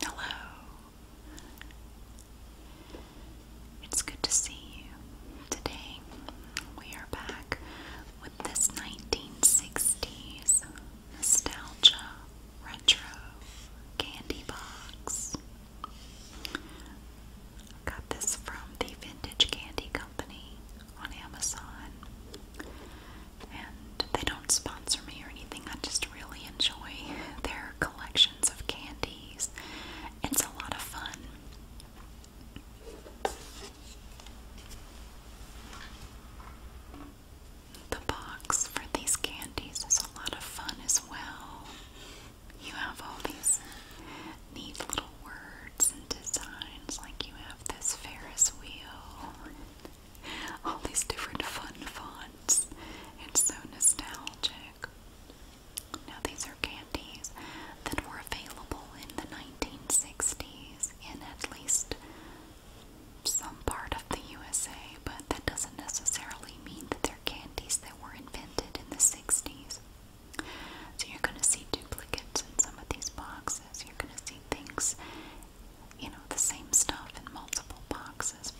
Hello. It's good to see you. Today we are back with this 1960s nostalgia retro candy box. got this from the Vintage Candy Co on Amazon. And they don't sponsor me or anything. I just really enjoy their collections of candies. It's a lot of fun. The box for these candies is a lot of fun as well. You have all these neat little words and designs, like you have this Ferris wheel, all these different fun fonts. It's so nostalgic. Now, these are candies that were available in the 1960s in at least some part of the USA, but that doesn't necessarily mean that they're candies that were invented in the 60s. So you're going to see duplicates in some of these boxes. You're going to see things, you know, the same stuff in multiple boxes.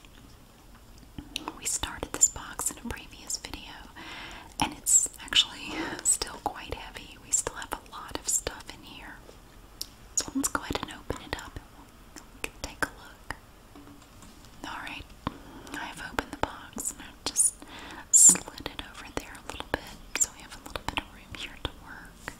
We started this box in a previous video, and it's actually still quite heavy. We still have a lot of stuff in here. So let's go ahead and open it up take a look. Alright, I've opened the box I've just slid it over there a little bit so we have a little bit of room here to work.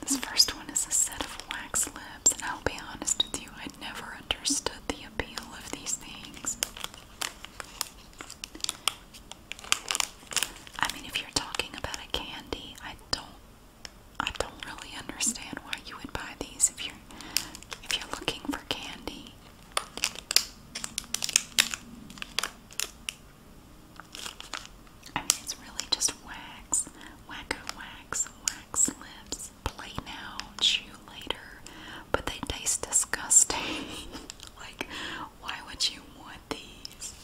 This first one is a set of wax lips, and I'll be honest with you, I never understood the appeal of these things. I mean, if you're talking about a candy, I don't, I don't really understand why you would buy these if you're, if you're looking for candy. I mean, it's really just wax, wacko wax, wax lips, play now, chew later, but they taste disgusting. like, why would you want these?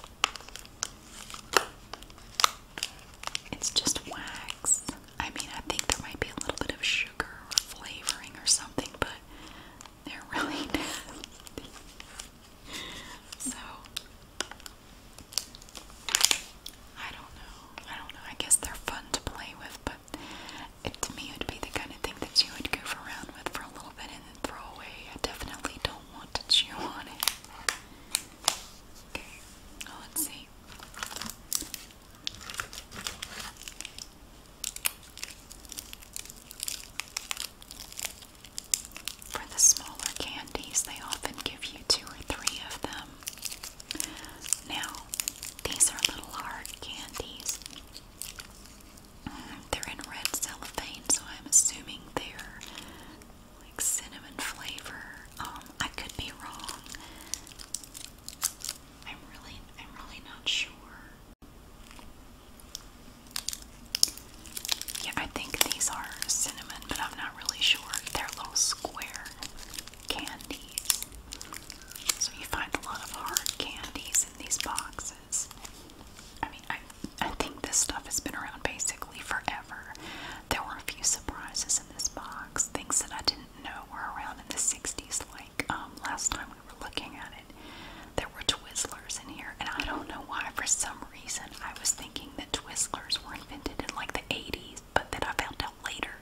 It's just wax. I mean, I think there might be a little bit of sugar or flavoring or something, but they're really nasty. So, I don't know. I don't know. I guess they're fun to play with, but it, to me, it would be the kind of thing that you would goof around with for a little bit and then throw away. I definitely don't. What did you want it. Okay, let's see. For the smaller candies, they often give you two or three of them. Now, these are little hard candies. They're in red cellophane, so I'm assuming they're like cinnamon flavor. Um, I could be wrong. I'm really, I'm really not sure. Yeah, I think these are cinnamon, but I'm not really sure. They're little square candies. So you find a lot of hard candies in these boxes glasses. I mean, I, I think this stuff has been around basically forever. There were a few surprises in this box, things that I didn't know were around in the 60s, like um, last time we were looking at it. There were Twizzlers in here, and I don't know why, for some reason, I was thinking that Twizzlers were invented in like the 80s, but then I found out later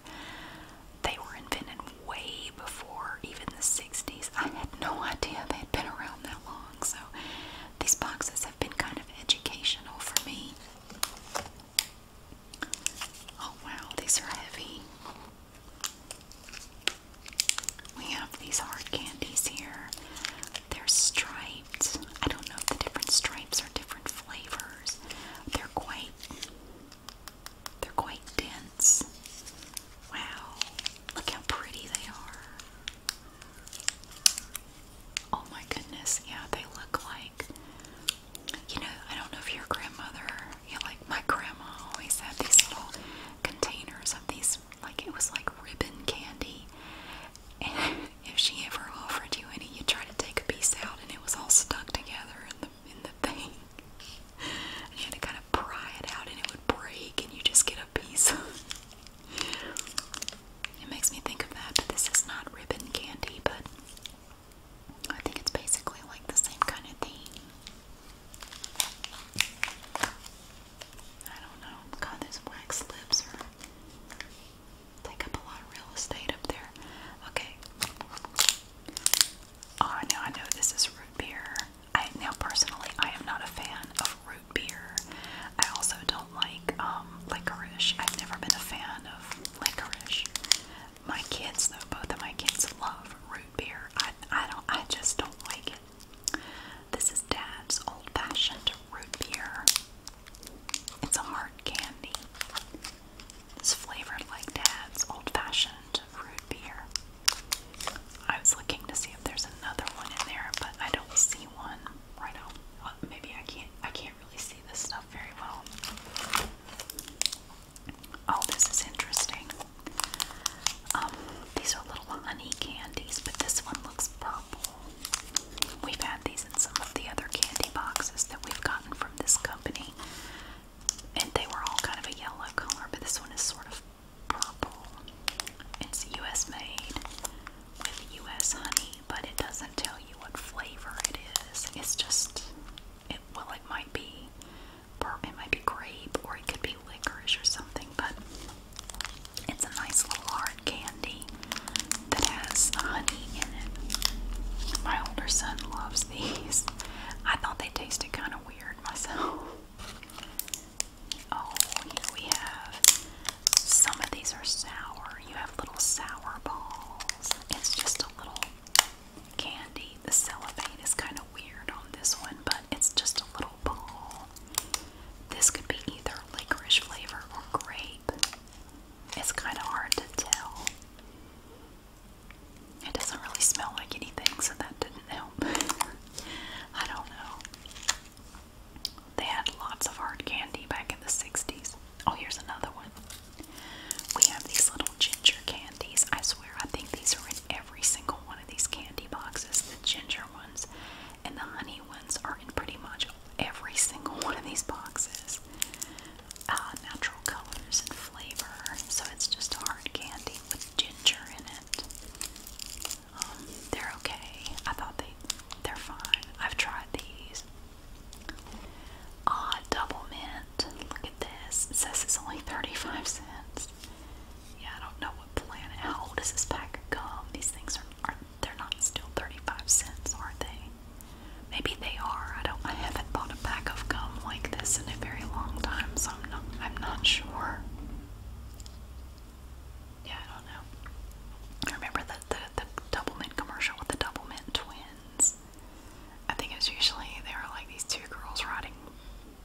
they were invented way before even the 60s. I had no idea they'd been around that long, so these boxes been kind of educational for me. Oh wow, these are heavy. We have these hard candies here. They're striped. I don't know if the different stripes are different flavors. They're quite they're quite dense. Wow. Look how pretty they are. Oh my goodness, yeah, they look like you know, I don't know if your grandmother, yeah, like my grandma always had these little containers of these, like it was like ribbon candy. And if she ever offered you any, you try to take a piece out and it was all stuck together in the in the thing. And you had to kind of pry it out and it would break and you just get a piece. It makes me think of that, but this is not ribbon candy, but I think it's basically like the same kind of thing. I don't know. God, those wax lips take up a lot of real estate up there. Okay. Oh, now I know this is root beer. I now personally I am not a fan Root beer. I also don't like um, licorice. I've never been a fan of licorice. My kids, though, both of my kids love root beer. I, I don't. I just don't like it. This is Dad's old-fashioned root beer. It's a hard candy. It's flavored like Dad's old-fashioned root beer. I was looking to see if there's another one in there, but I don't see one right now. Uh, maybe I can't. I can't really see this stuff very well. Oh, this is interesting. Um, these are little honey candies, but this one looks purple. We've had these in some of the other candy boxes that we've gotten from this company, and they were all kind of a yellow color, but this one is sort of purple. It's US made with US honey, but it doesn't tell you what flavor it is. It's just it well it might be purple it might be grape or it could be licorice or something, but it's a nice little hard candy that has honey in it. My older son loves these. I thought they tasted kind of weird myself. Oh, here we have some of these are sour. You have little sour balls. It's just a little candy. The cellophane is kind of weird on this one, but it's just a little ball. This could be either licorice flavor or grape. It's kind of hard to tell. It doesn't really smell like anything, so that didn't help. I don't know. They had lots of hard candy back in the 60s. Oh, here's another one. We have these little ginger candies. I swear, I think these are in every single one of these candy boxes. The ginger ones and the honey ones are in pretty much every single one of these boxes. Uh, natural colors and flavor. So it's just hard candy with ginger in it. Um, they're okay. I thought they they're fine. I've tried these. Odd double mint. Look at this. says it's only 35 cents. Yeah, I don't know what planet. How old is this pack of gum? These things are, are they're not still 35 cents, are they? Maybe they are. I don't I haven't bought a pack of gum like this in a very long time, so I'm not I'm not sure yeah, I don't know. remember the, the, the commercial with the double twins. I think it was usually they were like these two girls riding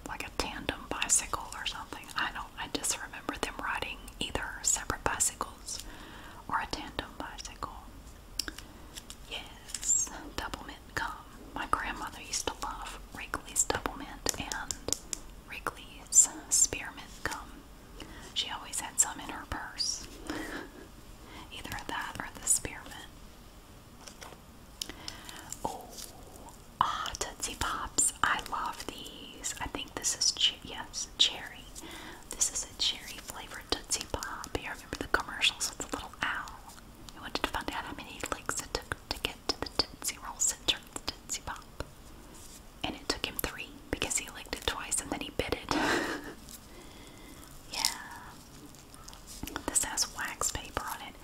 like a tandem bicycle or something. I don't I just remember them riding either separate bicycles or a tandem bicycle. Yes, Doublemint mint gum. My grandmother used to love Wrigley's Doublemint and Wrigley's spearmint gum. She always had some in her purse. Either that or the spearmint. Oh, ah, Tootsie Pops. I love these. I think this is, che yes, cherry. This is a cherry flavored Tootsie Pop. You remember the commercials with the little owl? We wanted to find out how many legs it took to get to the Tootsie Roll Center, the Tootsie Pop and it took him three because he licked it twice and then he bit it. yeah. This has wax paper on it.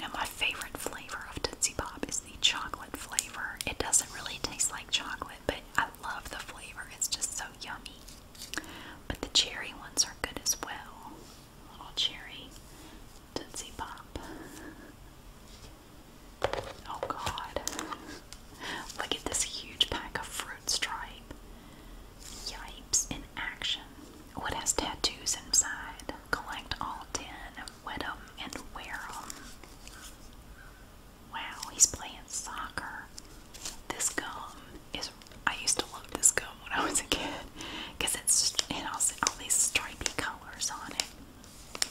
Now, my favorite flavor of Tootsie Pop is the chocolate flavor. It doesn't really taste like chocolate, but I love the flavor. It's just so yummy. But the cherry ones are good as well. Little cherry Tootsie Pop. Oh god. Look at this huge pack of fruit stripe. Yipes in action. What has tattoos inside. Collect all ten, wet them, and wear them. Wow, he's playing soccer. This gum is. I used to love this gum when I was a kid because it's it has all these stripy colors on it.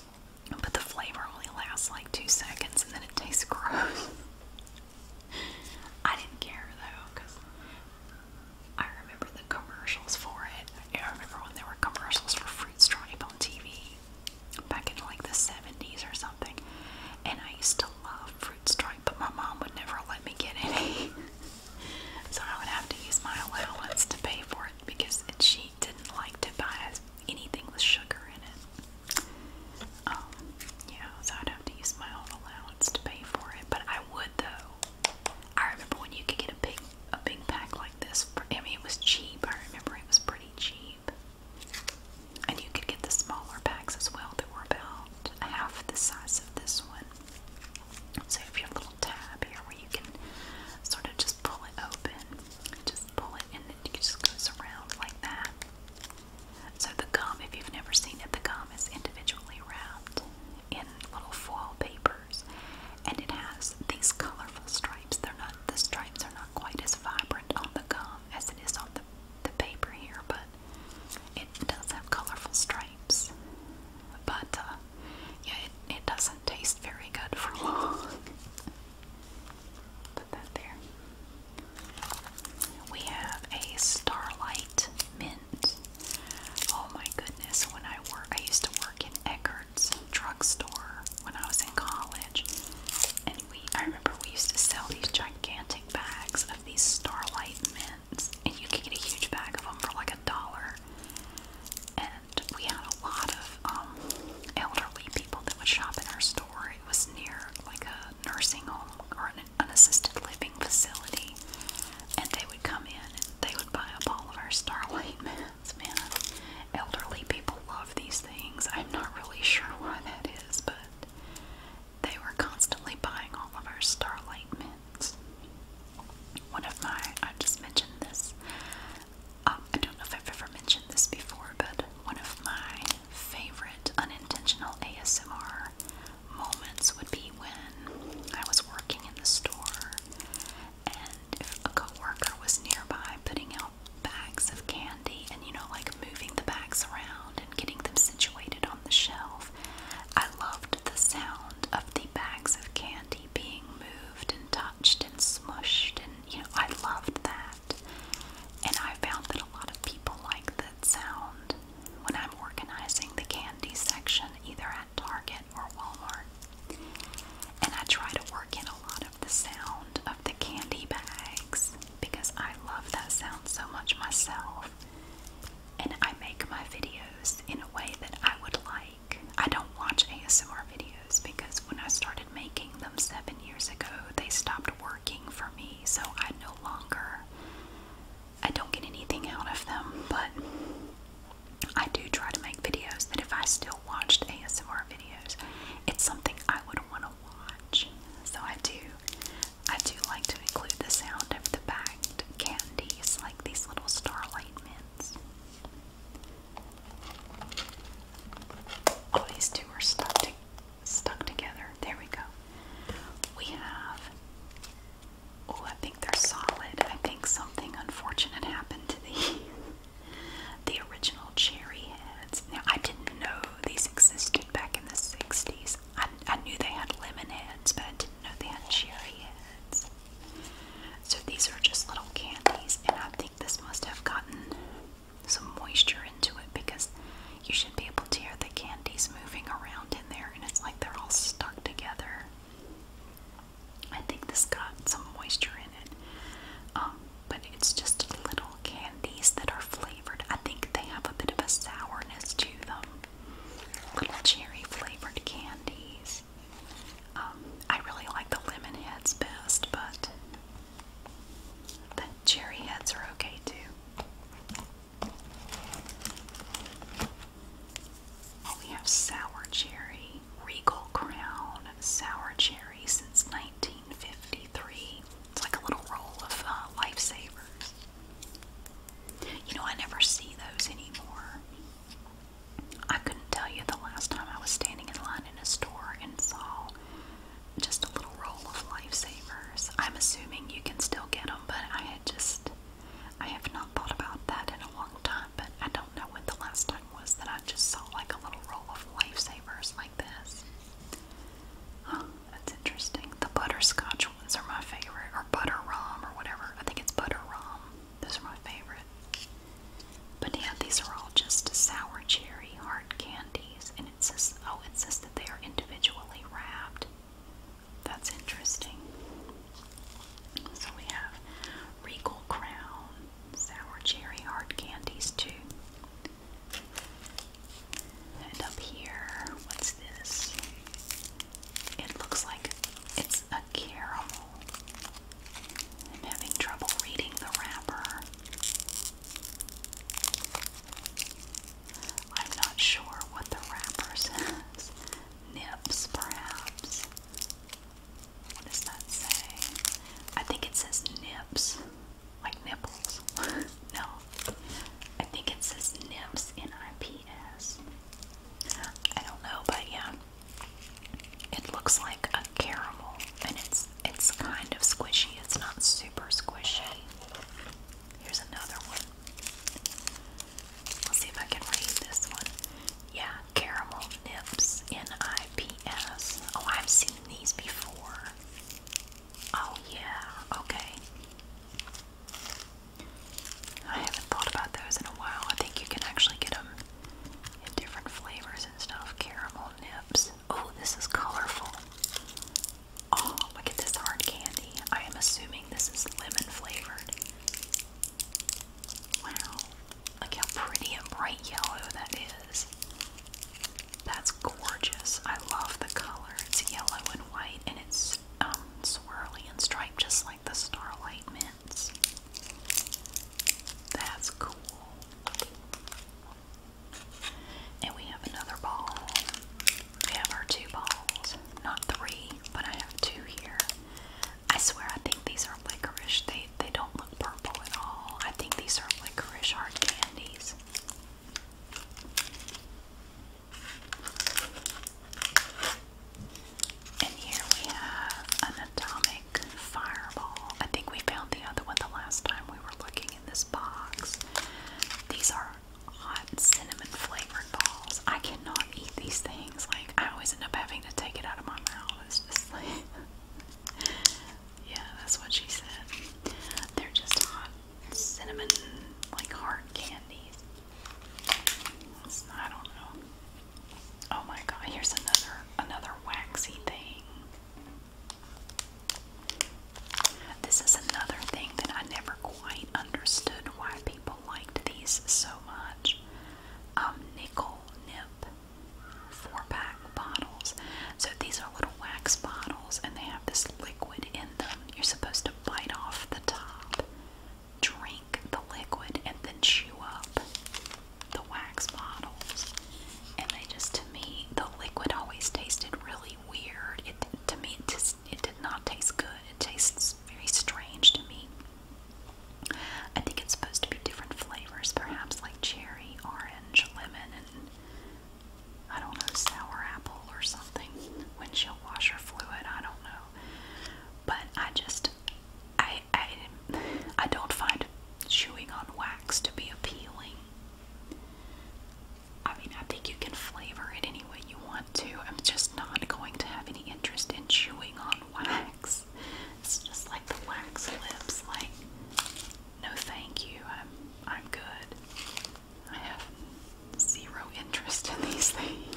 But the flavor only lasts like two seconds and then it tastes gross. I didn't care though, because I remember the commercials for it. I remember when there were commercials for Fruit Stripe on TV back in like the 70s or something. And I used to love Fruit Stripe, but my mom would never let me get any. so I would have to use my allowance to pay for it because it's cheap didn't like to buy anything with sugar in it. Um, yeah, so I'd have to use my allowance to pay for it. But I would though. I remember when you could get a big a big pack like this. I mean, it was cheap. I remember it was pretty cheap, and you could get the smaller packs as well that were about half the size of this one. So you have your little tab here where you can sort of just pull it open just pull it and it just goes around like that. So the gum, if you've never seen it, the gum is individually wrapped in little foil papers and it has these colorful stripes. They're not the stripes are not quite as vibrant on the gum as it is on the, the paper here, but it does have colorful stripes. But uh, yeah, it, it does taste very good for long. Put that there. We have a Starlight Mint. Oh my goodness, when I work, I used to work in Eckerd's drugstore when I was in college. And we, I remember we used to sell these gigantic bags of these Starlight Mints. And you could get a huge bag of them for like a dollar and we had a lot of um, elderly people that would shop in our store. It was near like a nursing home or an, an assisted living facility, and they would come in and they would buy up all of our Starlight mints. Man, elderly people love these things. I'm not really sure why that is, but they were constantly buying all of our Starlight mints. One of my, I just mentioned this, um, I don't know if I've ever mentioned this before, but one of my favorite unintentional ASMR moments would be when I was working in the store and if a coworker was nearby putting out bags of candy and you know like moving the bags around and getting them situated on the shelf. I loved the sound of the bags of candy being moved and touched and smushed, and you know, I loved that. And I found that a lot of people like that sound when I'm organizing the candy section, either at Target or Walmart. And I try to work in a lot of the sound of the candy bags because I love that sound so much myself. And I make my videos in a way that I would like. I don't watch ASMR videos because when I started making them seven years ago, they stopped working for me, so I no longer I don't get anything out of them, but I do try to make videos that if I still watched ASMR videos, it's something I would want to watch. So I do I do like to include the sound of the bagged candies, like these little starlight mints. Oh, these two are stuck, stuck together. There we go. We have. Oh, I think they're solid. I think something unfortunate happened to these. the original cherry heads. Now, I didn't know these existed back in the 60s. I, I knew they had lemon heads, but I didn't know they had cherry heads. So these are just little candies, and I think this must have gotten some moisture into it because you should be able to hear the candies moving around in there, and it's like they're all stuck together. I think this got some moisture in it, um, but it's just little candies that are flavored. I think they have a bit of a sourness to them. Little cherry flavored candies. Um, I really like the lemon heads best, but the cherry heads are okay too. Oh, we have sour cherry, regal crown, sour cherry since 1953. It's like a little roll of uh, lifesavers. You know, I never see those anymore. I couldn't tell you the last time I was standing in line in a store and saw just a little roll of lifesavers. I'm assuming you can still get them, but I had just, I have not thought about that in a long time, but I don't know when the last time was that I just saw like a little roll of lifesavers like this. that's interesting. The butterscotch ones are my favorite, or butter rum, or whatever. I think it's butter rum. Those are my favorite. But yeah, these are all just sour cherry hard candies, and it says, oh, it says that they are individually wrapped. That's interesting. So we have Regal Crown, sour cherry hard candies too. And up here, what's this? It looks like it's a caramel I'm having trouble reading the wrapper. I'm not sure what the wrapper says. Nips, perhaps. What does that say? I think it says nips, like nipples. no, I think it says nips, N I P S. I don't know, but yeah, it looks like a caramel, and it's it's kind of squishy. It's not super squishy. Here's another one. Let's see if I can read this one. Yeah, caramel nips, N-I-P-S. Oh, I've seen these before. Oh yeah, okay. I haven't thought about those in a while. I think you can actually get them different flavors and stuff. Caramel nibs. Oh, this is colorful. Oh, look at this hard candy. I am assuming this is lemon flavored. Wow. Look how pretty and bright yellow that is. That's gorgeous. I love the color. It's yellow and white and it's um, swirly and striped just like the Starlight Mints. That's cool. And we have another ball. We have our two balls. Not three, but I have two here. I swear I think these are licorice. They they don't look purple at all. I think these are licorice hard candies. And here we have an atomic Fireball. I think we found the other one the last time we were looking in this box. These are hot cinnamon flavored balls. I cannot eat these things. Like I always end up having to take it out of my mouth. It's just like Yeah, that's what she said. They're just hot cinnamon like hard candies. I don't know. Oh my god, here's another another waxy thing. This is another thing that I never quite understood why people liked these so much. Um, nickel nip four pack bottles. So these are little wax bottles and they have this liquid in them. You're supposed to bite off the top, drink the liquid, and then chew up the wax bottles, and they just to me the liquid always tasted really weird. It to me it just it did not taste good. It tastes very strange to me. I think it's supposed to be different flavors, perhaps like cherry, orange, lemon, and I don't know sour apple or something. Windshield washer fluid, I don't know. But I just I I, I, don't find chewing on wax to be appealing. I mean, I think you can flavor it any way you want to. I'm just not going to have any interest in chewing on wax. It's just like the wax lips, like, no thank you, I'm, I'm good. I have zero interest in these things.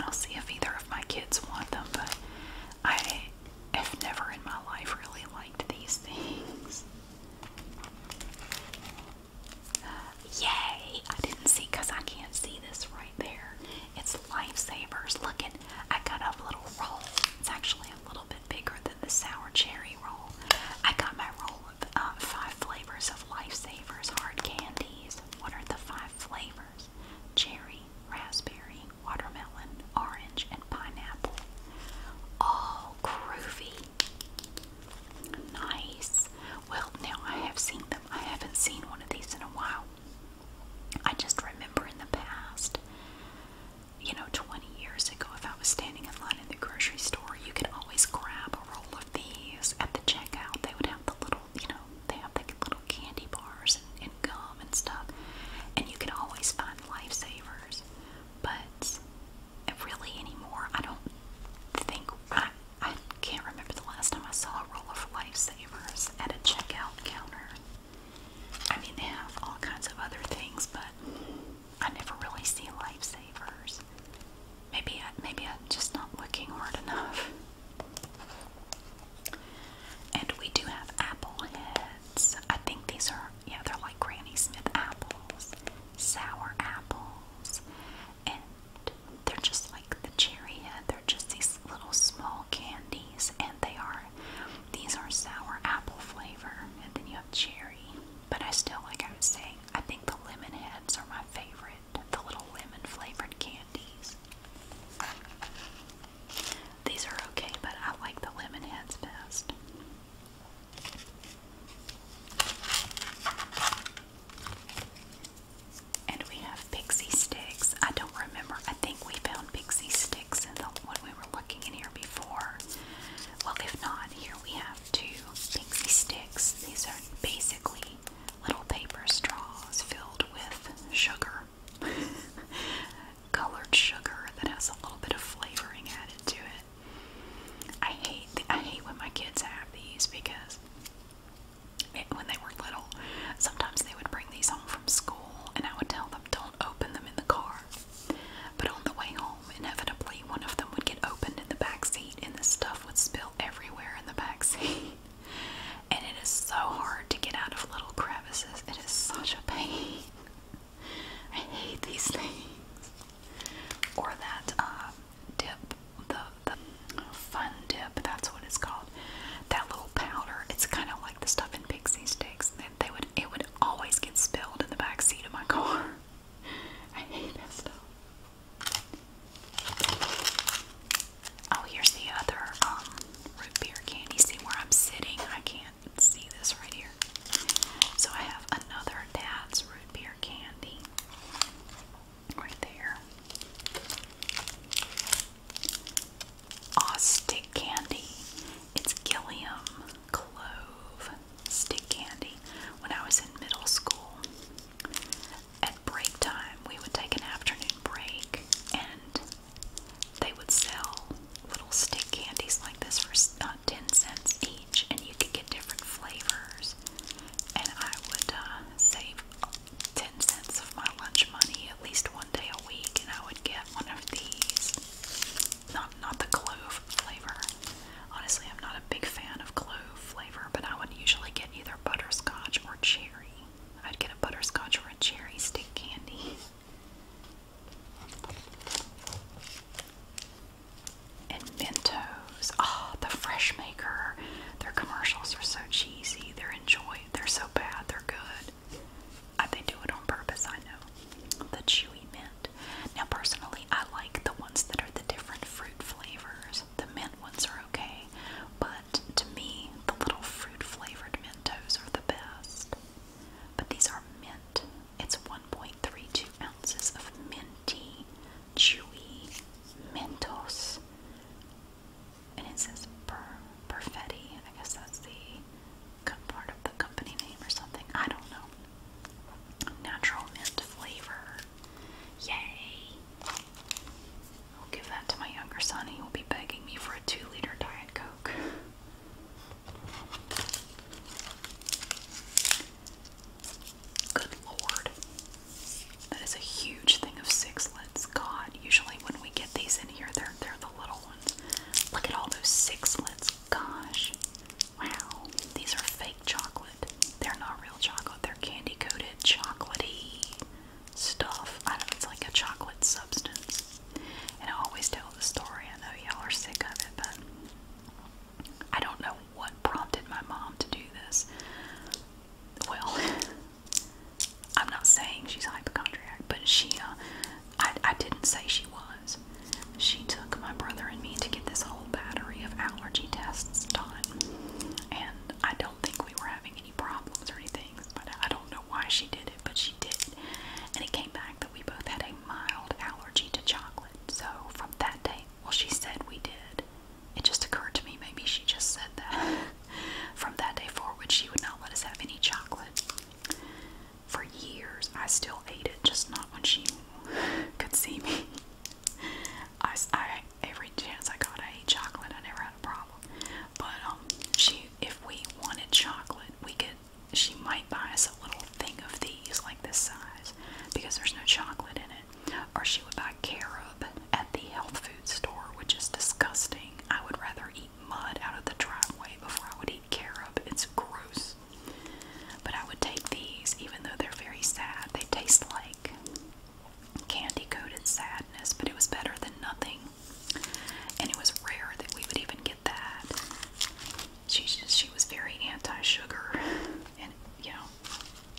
I'll see if either of my kids want them, but I have never in my life really liked these things. Yay! I didn't see because I can't see this right there. It's lifesavers. Look at I got a little roll. It's actually a little bit bigger than the sour cherry roll. I got my roll of um, five flavors of lifesavers hard candies. What are the five flavors? Cherry, raspberry, watermelon, orange, and pineapple. All groovy. Nice. Well, now I have seen them. I haven't seen one of these in a while. I just remember in the past, you know, 20 years ago, if I was standing in line in the grocery store, you could always grab a roll of these at the checkout. They would have the little little, you know, they have like little candy bars and, and gum and stuff. And you can always find lifesavers. But really anymore, I don't think, I, I can't remember the last time I saw a roll of lifesavers at a checkout counter. I mean, they have all kinds of other things, but I never really see lifesavers. Maybe, I, maybe I'm just not looking hard enough. And we do have apple heads. I think these are, yeah, they're like Granny Smith apples, sour apples, and they're just like the cherry head. They're just these little small candies, and they are, these are sour apple flavor, and then you have cherry. But I still, like I was saying, I think the lemon heads are my favorite the little lemon flavored candies. These are okay, but I like the lemon heads best. And we have pixie sticks. I don't remember. I think we found pixie sticks in the one we were looking in here before. Well, if not, here we have two pixie sticks. These are basically little paper straws filled with sugar. colored sugar that has a little bit of flavoring added to it. I hate the, I hate when my kids have these because it, when they were little, sometimes they would bring these home from school, and I would tell them don't open them in the car. But on the way home, inevitably one of them would get opened in the back seat, and the stuff would spill everywhere in the back seat. And it is so hard to get out of little crevices. It is such a pain. I hate these things. Or that uh, dip, the, the fun dip, that's what it's called. That little powder. It's kind of like the stuff in pixie sticks. They, they would, it would always get spilled in the back seat of my car. I hate that stuff. Oh, here's the other um, root beer candy. See where I'm sitting? I can't see this right here. So I have another dad's root beer candy right there. Aw, stick candy. It's Gilliam Clove stick candy. When I was in middle school, at break time, we would take an afternoon break and they would sell little stick candies like this for uh, 10 cents each, and you could get different flavors. And I would uh, save 10 cents of my lunch money at least one day a week, and I would get one of these. Not, not the clove flavor. Honestly, I'm not a big fan of clove flavor, but I would usually get either butterscotch or cherry. I'd get a butterscotch or a cherry stick candy. And Mentos. Ah, the Fresh Maker. Their commercials are so cheesy. They're enjoy. They're so bad. They're good. I, they do it on purpose. I know. The chewy mint. Now, personally, I like the ones that are the different fruit flavors. The mint ones are okay, but to me, the little fruit flavored Mentos are the best. But these are mint. It's 1.32 ounces of minty, chewy Mentos. And it says per, Perfetti. I guess that's the part of the company name or something. I don't know. Natural mint flavor. Yay! I'll give that to my younger son. He will be begging me for a two liter Diet Coke. Good lord. That is a huge thing of sixlets. God, usually when we get these in here, they're, they're the little ones. Look at all those sixlets. Gosh. Wow. These are fake chocolate. They're not real chocolate. They're candy coated, chocolaty stuff. I don't know, it's like a chocolate substance. And I always tell the story. I know y'all are sick of it, but I don't know what prompted my mom to do this. Well, I'm not saying she's hypochondriac, but she, uh, I, I didn't say she was. She took my brother and me to get this whole battery of allergy tests done. And I don't think we were having problems or anything, but I don't know why she did it, but she did. And it came back that we both had a mild allergy to chocolate. So from that day, well, she said we did. It just occurred to me maybe she just said that. from that day forward, she would not let us have any chocolate. For years, I still ate it, just not when she could see me. I, I, every chance I got, I ate chocolate. I never had a problem. But um, she, if we wanted chocolate, we could. She might buy us a little thing of these, like this size, because there's no chocolate in it. Or she would buy carob at the health food store, which is disgusting. I would rather eat mud out of the driveway before I would eat carob. It's gross. But I would take these, even though they're very sad. They taste like candy coated sadness, but it was better than nothing and it was rare that we would even get that. She just, she was very anti-sugar, and you know,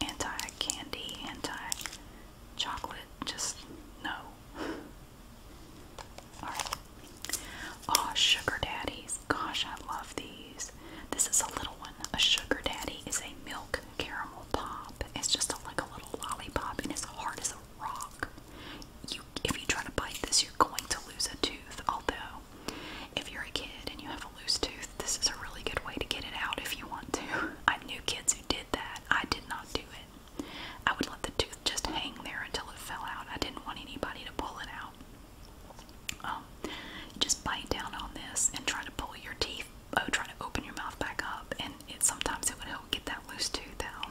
anti-candy, anti-chocolate. Just no. All right. Oh, sugar daddies. Gosh, I love these. This is a little one. A sugar daddy is a milk caramel pop. It's just a, like a little lollipop, and it's hard as a rock. if you try to bite this, you're going to lose a tooth. Although, if you're a kid and you have a loose tooth, this is a really good way to get it out if you want to. I knew kids who did that. I did not do it. I would let the tooth just hang there until it fell out. I didn't want anybody to pull it out. Um, just bite down on this and try to pull your teeth oh, uh, trying to open your mouth back up, and it sometimes it would help get that loose tooth out.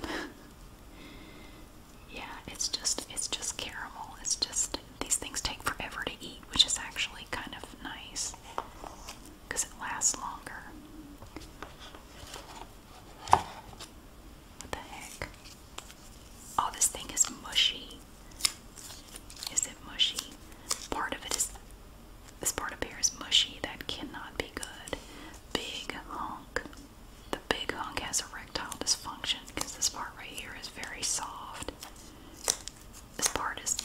yeah, it's just it's just caramel. It's just these things take forever to eat, which is actually kind of nice because it lasts longer. What the heck? Oh, this thing is mushy. Is it mushy? Part of it is this part up here is mushy. That cannot be good. Big honk. The big honk has erectile dysfunction because this part right here is very soft. This part is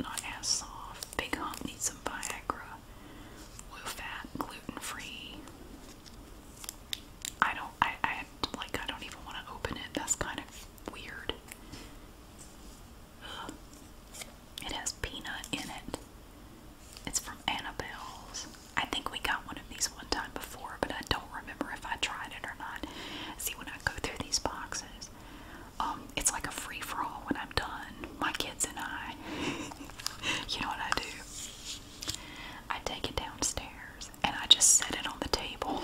not as soft. Big honk needs some Viagra. Low fat, gluten free. I don't. I. I like. I don't even want to open it. That's kind of weird. It has peanut in it. It's from Annabelle's. I think we got one of these one time before, but I don't remember if I tried it or not. See, when I go through these boxes, um, it's like a free for all when I'm done. My kids and I. you know what I do? I take it downstairs and I just set it on the table.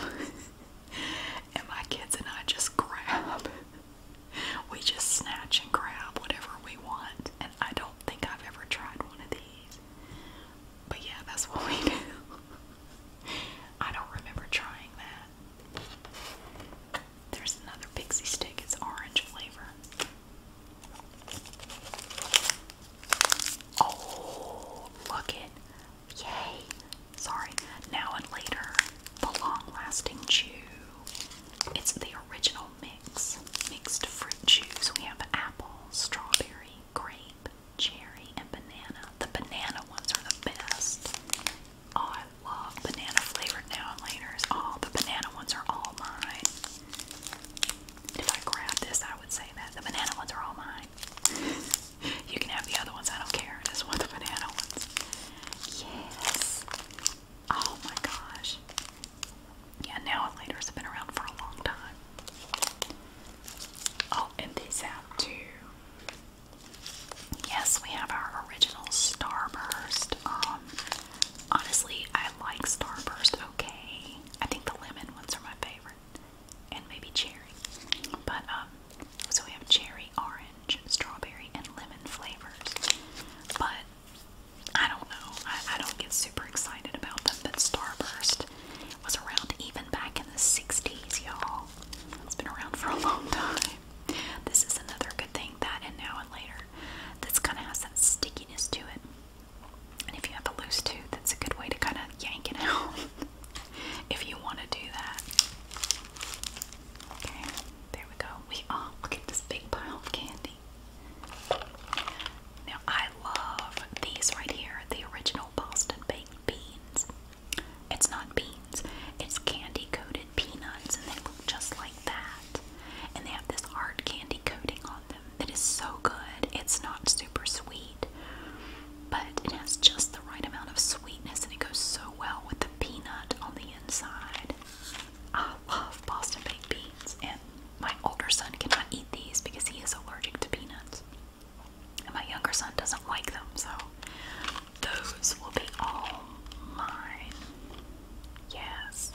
and my kids and I just grab we just snatch and grab whatever we want. And I don't think I've ever tried one of these. But yeah, that's what we do. I don't remember trying that. There's another pixie stick, it's orange flavor. Oh, look it. Yay. Sorry, now and later. The long lasting chew. It's the original i mixed fruit juice. We have apple, strawberry, grape, cherry, and banana. The banana ones are the best. Oh, I love banana flavored now and laters. Oh, the banana ones are all mine. If I grab this, I would say that the banana ones are all mine. you can have the other ones. I don't care. I just want the banana ones. Yes. Oh my gosh. Yeah, now and later been around for a long time. Oh, and these too. Yes, we have our original Starburst. Um, honestly, I like Starburst okay. I think the lemon ones are my favorite. And maybe cherry. But, um, so we have cherry, orange, strawberry, and lemon flavors. But I don't know. I, don't get super excited about them, but Starburst was around even back in the 60s, y'all. It's been around for a long time. This is another good thing, that and now and later. This kind of has that stickiness to it. And if you have a loose tooth, that's a good way to kind of yank it out if you want to do that. Okay. There we go. We are. Look at this big pile of candy. Now, I love these right here the original Boston baked beans. It's not beans, it's candy coated peanuts, and they look just like that. And they have this hard candy coating on them that is so good. It's not super sweet, but it has just the right amount of sweetness, and it goes so well with the peanut on the inside. I love Boston baked beans, and my older son cannot eat these because he is allergic to peanuts. And my younger son doesn't like them, so those will be all mine. Yes.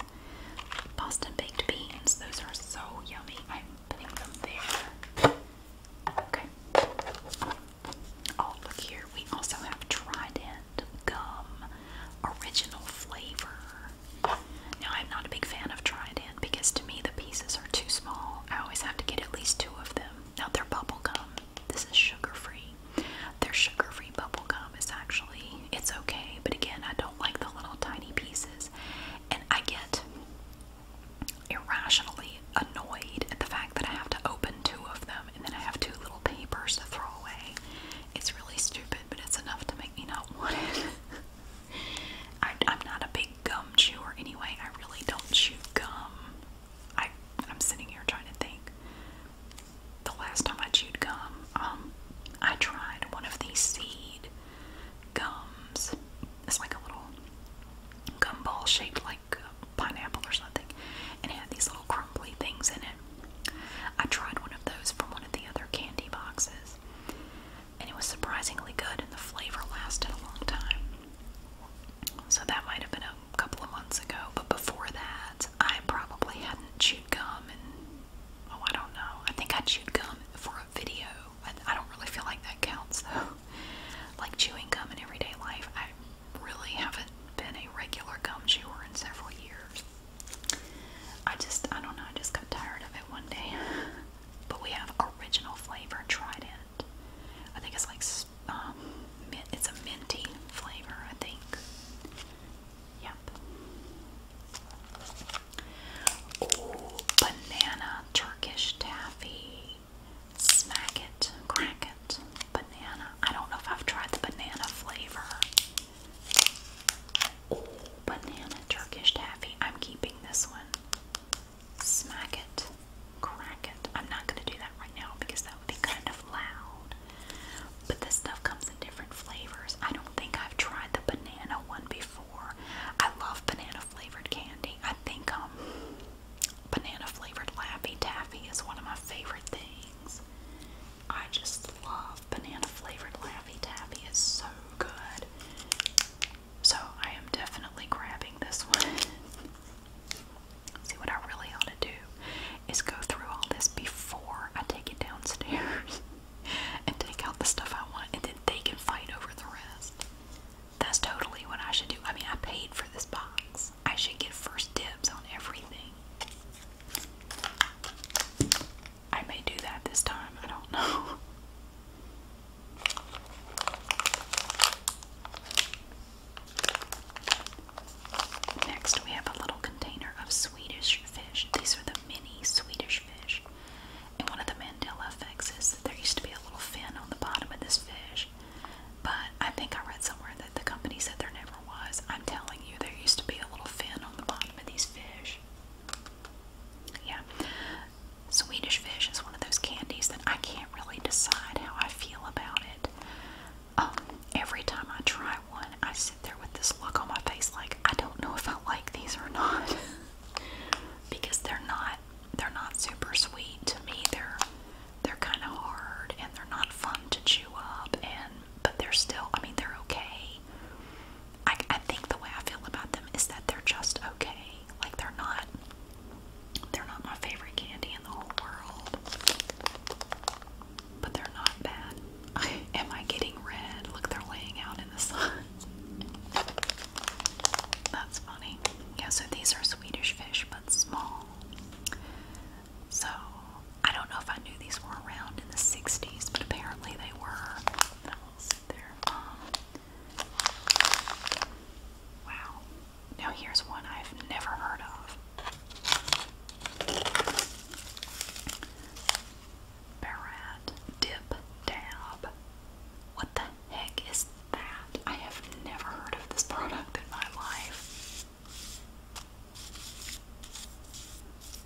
Boston baked beans, those are so yummy. I'm putting them there. Okay. Oh, look here. We also have Trident gum original flavor. Now, I'm not a big fan of Try It because to me the pieces are too small. I always have to get at least two of them. Now, they're bubble gum. This is sugar free. Their sugar free bubble gum is actually, it's okay, but again, I don't like the little tiny pieces. And I get irrationally annoyed at the fact that I have to open two of them and then I have two little papers to throw away. It's really stupid, but it's enough to make me not want it. I, am not a big gum chewer anyway. I really don't chew gum. I, I'm sitting here trying to think. The last time I chewed gum, um, I tried one of these seed gums. It's like a little gumball shaped like pineapple or something, and it had these little crumbly things in it. I tried one of those from one of the other candy boxes, and it was surprisingly good, and the flavor lasted a long time. So that might have been a couple of months ago, but before that, I probably hadn't chewed gum and oh, I don't know. I think I chewed gum for a video. I, I don't really feel like that counts though. Like chewing gum in everyday life, I really haven't been a regular gum chewer in several years. I just, I don't know, I just got tired of it one day. But we have original flavor Trident. I think it's like, um, it's a minty flavor, I think. Yep. Oh, banana Turkish taffy. Smack it, crack it, banana. I don't know if I've tried the banana flavor. Oh, banana Turkish taffy. I'm keeping this one. Smack it. Crack it. I'm not going to do that right now because that would be kind of loud. But this stuff comes in different flavors. I don't think I've tried the banana one before. I love banana flavored candy. I think um banana flavored laffy taffy is one of my favorite things. I just love banana flavored Laffy Taffy. It's so good. So I am definitely grabbing this one. See what I really ought to do is go through all this before I take it downstairs and take out the stuff I want and then they can fight over the rest. That's totally what I should do. I mean I paid for this box. I should get first dibs on everything. I may do that this time, I don't know. Next, we have a little container of Swedish fish. These are the mini Swedish fish. And one of the Mandela effects is that there used to be a little fin on the bottom of this fish. But I think I read somewhere that the company said there never was. I'm telling you there used to be a little fin on the bottom of these fish. Yeah. Swedish fish is one of those candies that I can't really decide how I feel about it. Um, every time I try one, I sit there with this look on my face like I don't know if I like these or not. because they're not they're not super sweet to me. They're they're kind of hard and they're not fun to chew up and but they're still, I mean, they're okay. I, I think the way I feel about them is that they're just okay. Like they're not, they're not my favorite candy in the whole world, but they're not bad. am I getting red? Look, they're laying out in the sun. That's funny. Yeah, so these are Swedish fish, but small. So I don't know if I knew these were around in the 60s, but apparently they were. Um, wow. Now here's one I've never heard of. Barat Dip Dab. What the heck is that? I have never heard of this product in my life.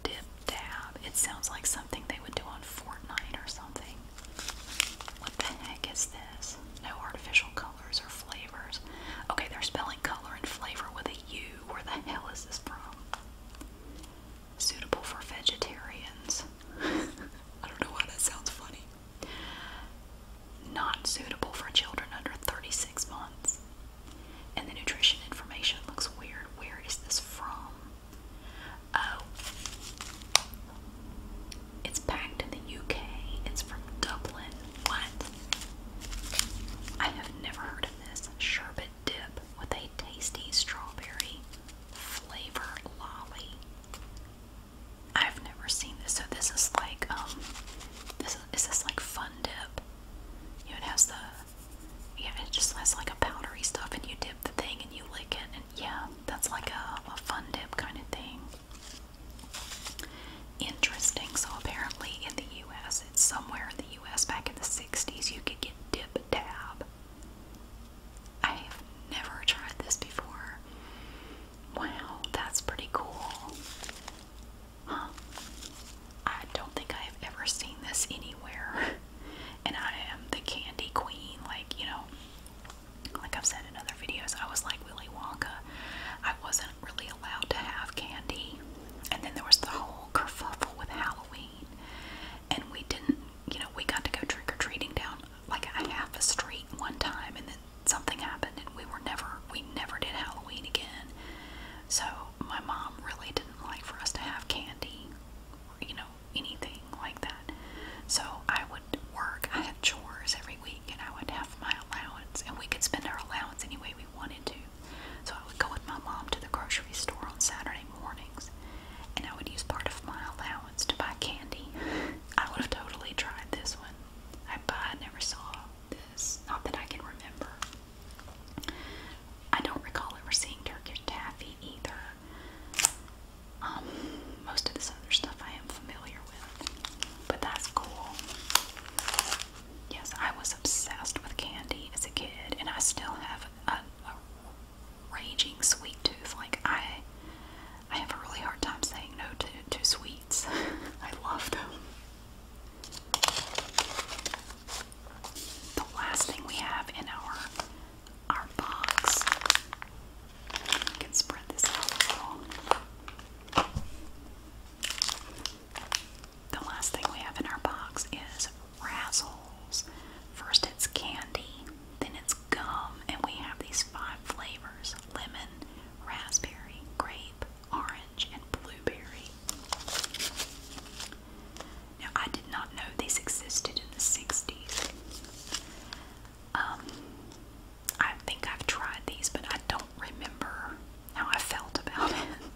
Dip dab. It sounds like something they would do on Fortnite or something. What the heck is this? No artificial colors or flavors. Okay, they're spelling color and flavor with a U. Where the hell is this from? Suitable for vegetarians. I don't know why that sounds funny. Not suitable for children under 36 months. And the nutrition information looks weird. Where is this from? Oh. It's packed in the UK. It's from Dublin. What? I have never heard of this. Sherbet dip with a tasty strawberry flavor lolly. I've never seen this. So this is like um is, this like fun dip. it has the yeah, it just has like a powdery stuff, and you dip the thing and you lick it, and yeah, that's like a, fun dip kind of thing. Interesting. So apparently, in the U.S., it's somewhere in the U.S. back in the '60s, you could get dip dab. I have never tried this before. Wow, that's pretty cool. Huh. I don't think I have ever seen this anywhere. And I am the candy queen. Like, you know, like I've said in other videos, I was like Willy Wonka. I wasn't really allowed to have candy. And then there was the whole kerfuffle with Halloween. And we didn't, you know, we got to go trick or treating down like a half a street one time and then something happened and we were never, we never did Halloween again. So my mom really didn't like for us to have candy, or, you know, anything like that. So I would work. I had chores every week, and I would have my allowance, and we could spend our allowance any way we wanted to. So I would go with my mom to the grocery store on Saturday mornings, and I would use part of my allowance to buy candy. I would have totally tried this one. I, I never saw this. Not that I can remember. I don't recall ever seeing Turkish taffy either. Um, most of this other stuff I am familiar with, but that's cool. Yes, I was obsessed with candy as a kid, and I still have a, raging sweet tooth. Like I, I have a really hard time saying no to to sweets. I love them the last thing we have in our our box. We can spread this out The last thing we have in our box is Razzles. First it's candy, then it's gum, and we have these five flavors lemon, raspberry, grape, orange, and blueberry. Now, I did not know these existed in the 60s. Um, I think I've tried these, but I don't remember how I felt about it.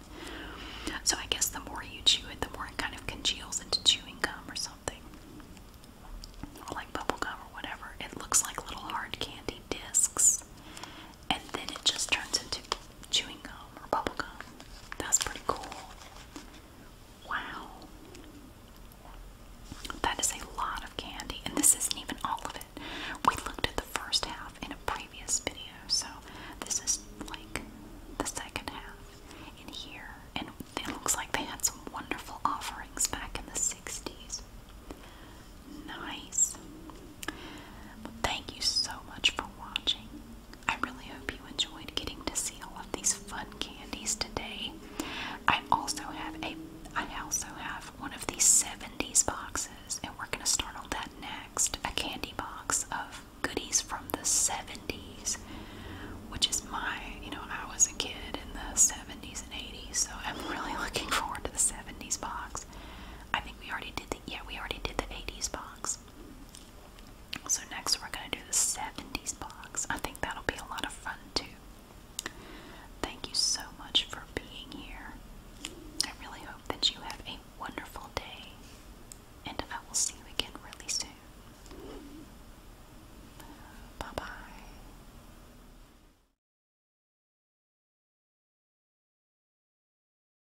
So, I guess the more you chew it, the more it kind of congeals into chewing gum or something. like bubble gum or whatever. It looks like little hard candy discs and then it just turns into chewing gum or bubble gum. That's pretty cool. Wow. That is a lot of candy, and this isn't even all of it. We looked at the first half in a previous video, so this is like the second half in here. And it looks like they had some wonderful offerings back in the 60s. Nice. thank you so much for watching. I really hope you enjoyed getting to see all of these fun candies today. I also have a I also have one of these 70s boxes and we're gonna start on that next. A candy box of goodies from the 70s, which is my you know, I was a kid in the 70s and 80s, so I'm really looking forward to the 70s box. I think we already did the yeah, we already did the 80s box. So next we're going to do the 70s box. I think that'll be a lot of fun too. Thank you so much for being here. I really hope that you have a wonderful day and I will see you again really soon. Bye-bye.